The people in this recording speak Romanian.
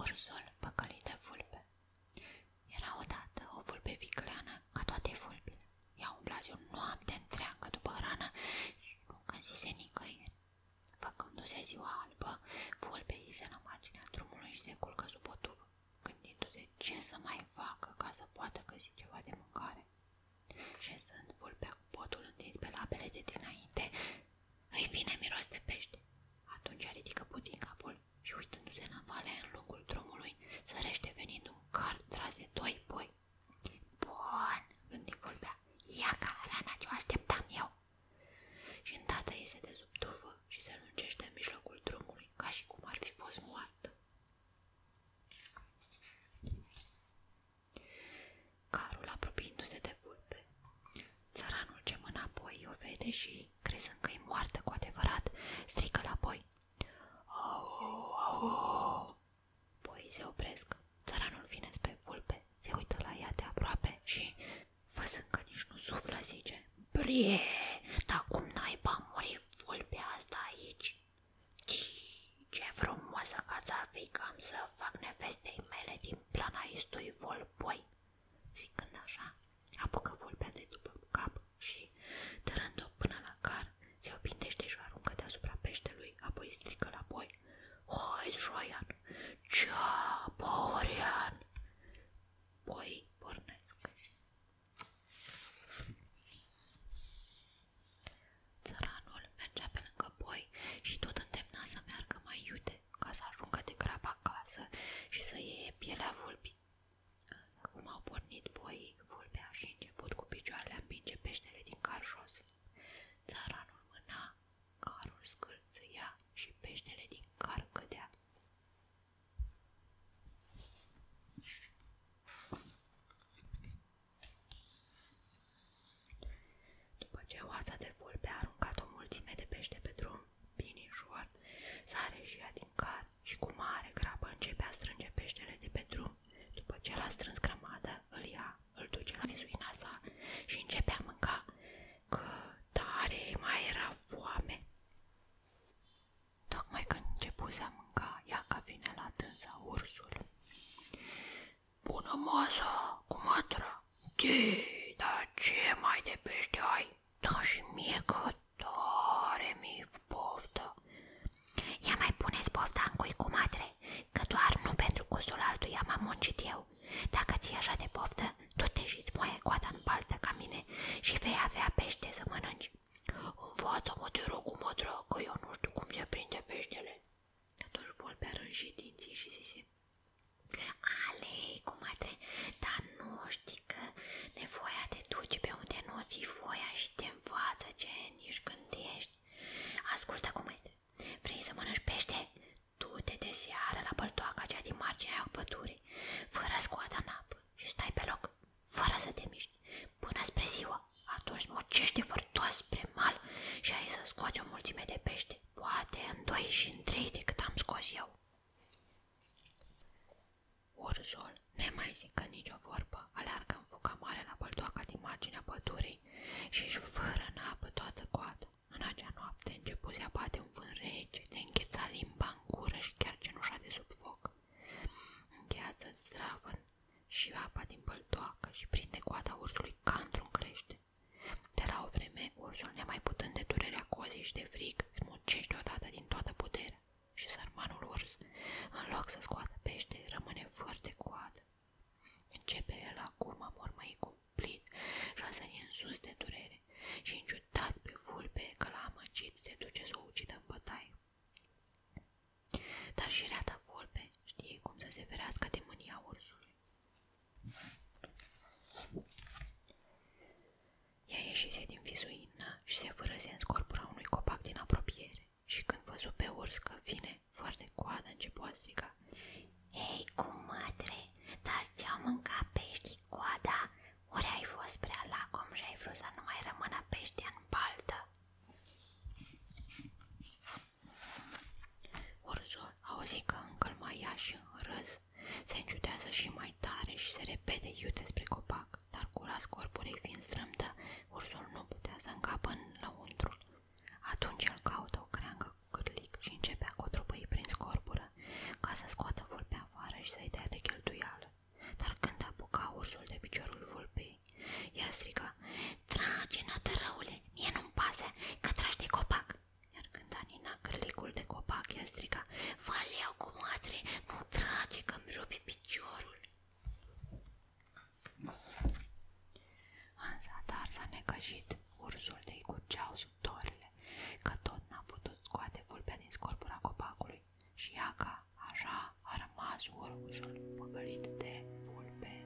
Ursul păcălit de vulpe Era odată o vulpe vicleană ca toate vulpile. Ea umbla zi o noapte întreagă după rană și nu găsise nicăieri. Făcându-se ziua albă, vulpea se la marginea drumului și se culcă sub o tubă, gândindu-se ce să mai facă ca să poată găsi ceva de mâncare. Șezând vulpea cu potul întins pe labele de dinainte, îi vine miros de pește. Atunci ridică puțin capul și uitându-se în vale în lungul drumului, sărește venind un car tras de doi boi. Bun, gândi vulpea, ia ca rana ce o așteptam eu. Și îndată iese de sub tufă și se lungește în mijlocul drumului, ca și cum ar fi fost moartă. Carul, apropiindu-se de vulpe, țăranul ce înapoi o vede și, crezând că e moartă cu adevărat, strică la boi. Au, au! Boii se opresc. Țăranul vine spre vulpe, se uită la ea aproape și, văzând că nici nu suflă, zice Brie, dar cum naiba a vulpea asta aici? Ce frumoasă cața ar fi cam să fac nevestei mele din plana istui volpoi. Zicând așa, apucă vulpea de după cap și, tărând-o până la car, se opintește și o aruncă deasupra peștelui, apoi strică la boi. Hoi, Joian! Cea, Borean! Boi pornesc. Țăranul mergea pe lângă boi și tot îndemna să meargă mai iute ca să ajungă de grab acasă și să iei pielea vulpii. Cum au pornit boii, vulpea și început cu picioarele împinge peștele din car jos. Țăranul mâna, carul scâlțâia și peștele din car cădea. După ce oața de vulpe a aruncat o mulțime de pește pe drum, binișor, sare și ea din car și cu mare grabă începe a strânge peștele de pe drum. După ce l-a strâns grămadă, îl ia, îl duce la vizuina sa și începe a mânca, că tare mai era foame. Tocmai când începuse a mânca, ia că vine la tânsa ursul. Bună masă, cu mătră! Tii, dar ce mai de pește ai? Da și mie că tare mi poftă! Ia mai puneți pofta în cui cu matre, că doar nu pentru gustul altuia m-am muncit eu. Dacă ți-e așa de poftă, tu te tot ieșiți moaie coada în baltă ca mine și vei avea pește să mănânci. Învață-mă, te rog, cum mă drag, că eu nu știu cum se prinde peștele. Atunci vulpea rânși dinții și zise, Alei, comadre, dar nu știi că nevoia te duce pe unde nu ți voia și te învață ce nici când ești. Ascultă, comete, vrei să mănânci pește? Du-te de seară la băltoaca cea din marginea pădurii, fără scoada în apă și stai pe loc, fără să te miști, până spre ziua. Atunci morcește vârtos spre mal și ai să scoți o mulțime de pește, poate în doi și în trei decât am scos eu. Ursul, nemai zicând nicio vorbă, aleargă în fuca mare la băltoaca din marginea pădurii și își fără în apă toată coada. În acea noapte începu să un vânt rece, limba în gură și chiar cenușa de sub foc. Îngheață-ți și apa din băltoacă și prinde coada ursului ca într De la o vreme, ursul, nemai putând de durerea cozii și de frig, smucește odată din toată puterea și sărmanul urs, în să scoată pește, rămâne foarte de coadă. Începe el acum a mormăi cu cumplit și a sărit în sus de durere pe vulpe că l-a amăgit se duce să ucidă în bătaie. Dar și reata vulpe știe cum să se ferească de mânia ursului. Ea ieșise din vizuină și se fărăse în scorpura unui copac din apropiere și când văzu pe urs că vine, foarte coadă, începu a striga ei, cu mătre, dar ți-au mâncat peștii coada? Ori ai fost prea lacom și ai vrut să nu mai rămână pești în baltă? Urzul auzi că încă mai ia și în râs, se înciudează și mai tare și se repede iute spre copac, dar curas corpului fiind strâmtă, ursul nu putea să încapă în lăuntru atunci el caută o creangă cu cârlic și începe a cotropăi prin scorbură, ca să scoată vulpea afară și să-i dea de cheltuială. Dar când apuca ursul de piciorul vulpei, ea striga, Trage, nătărăule, mie nu-mi pasă, că tragi de copac!" Iar când a nina cârlicul de copac, ea striga, Vă leau cu mătre, nu trage, că-mi rupe piciorul!" În zadar s-a necăjit, ursul de-i curgeau sub dorile, că tot n-a putut scoate vulpea din scorpura copacului și iaca, așa, a rămas ursul păcălit de vulpe.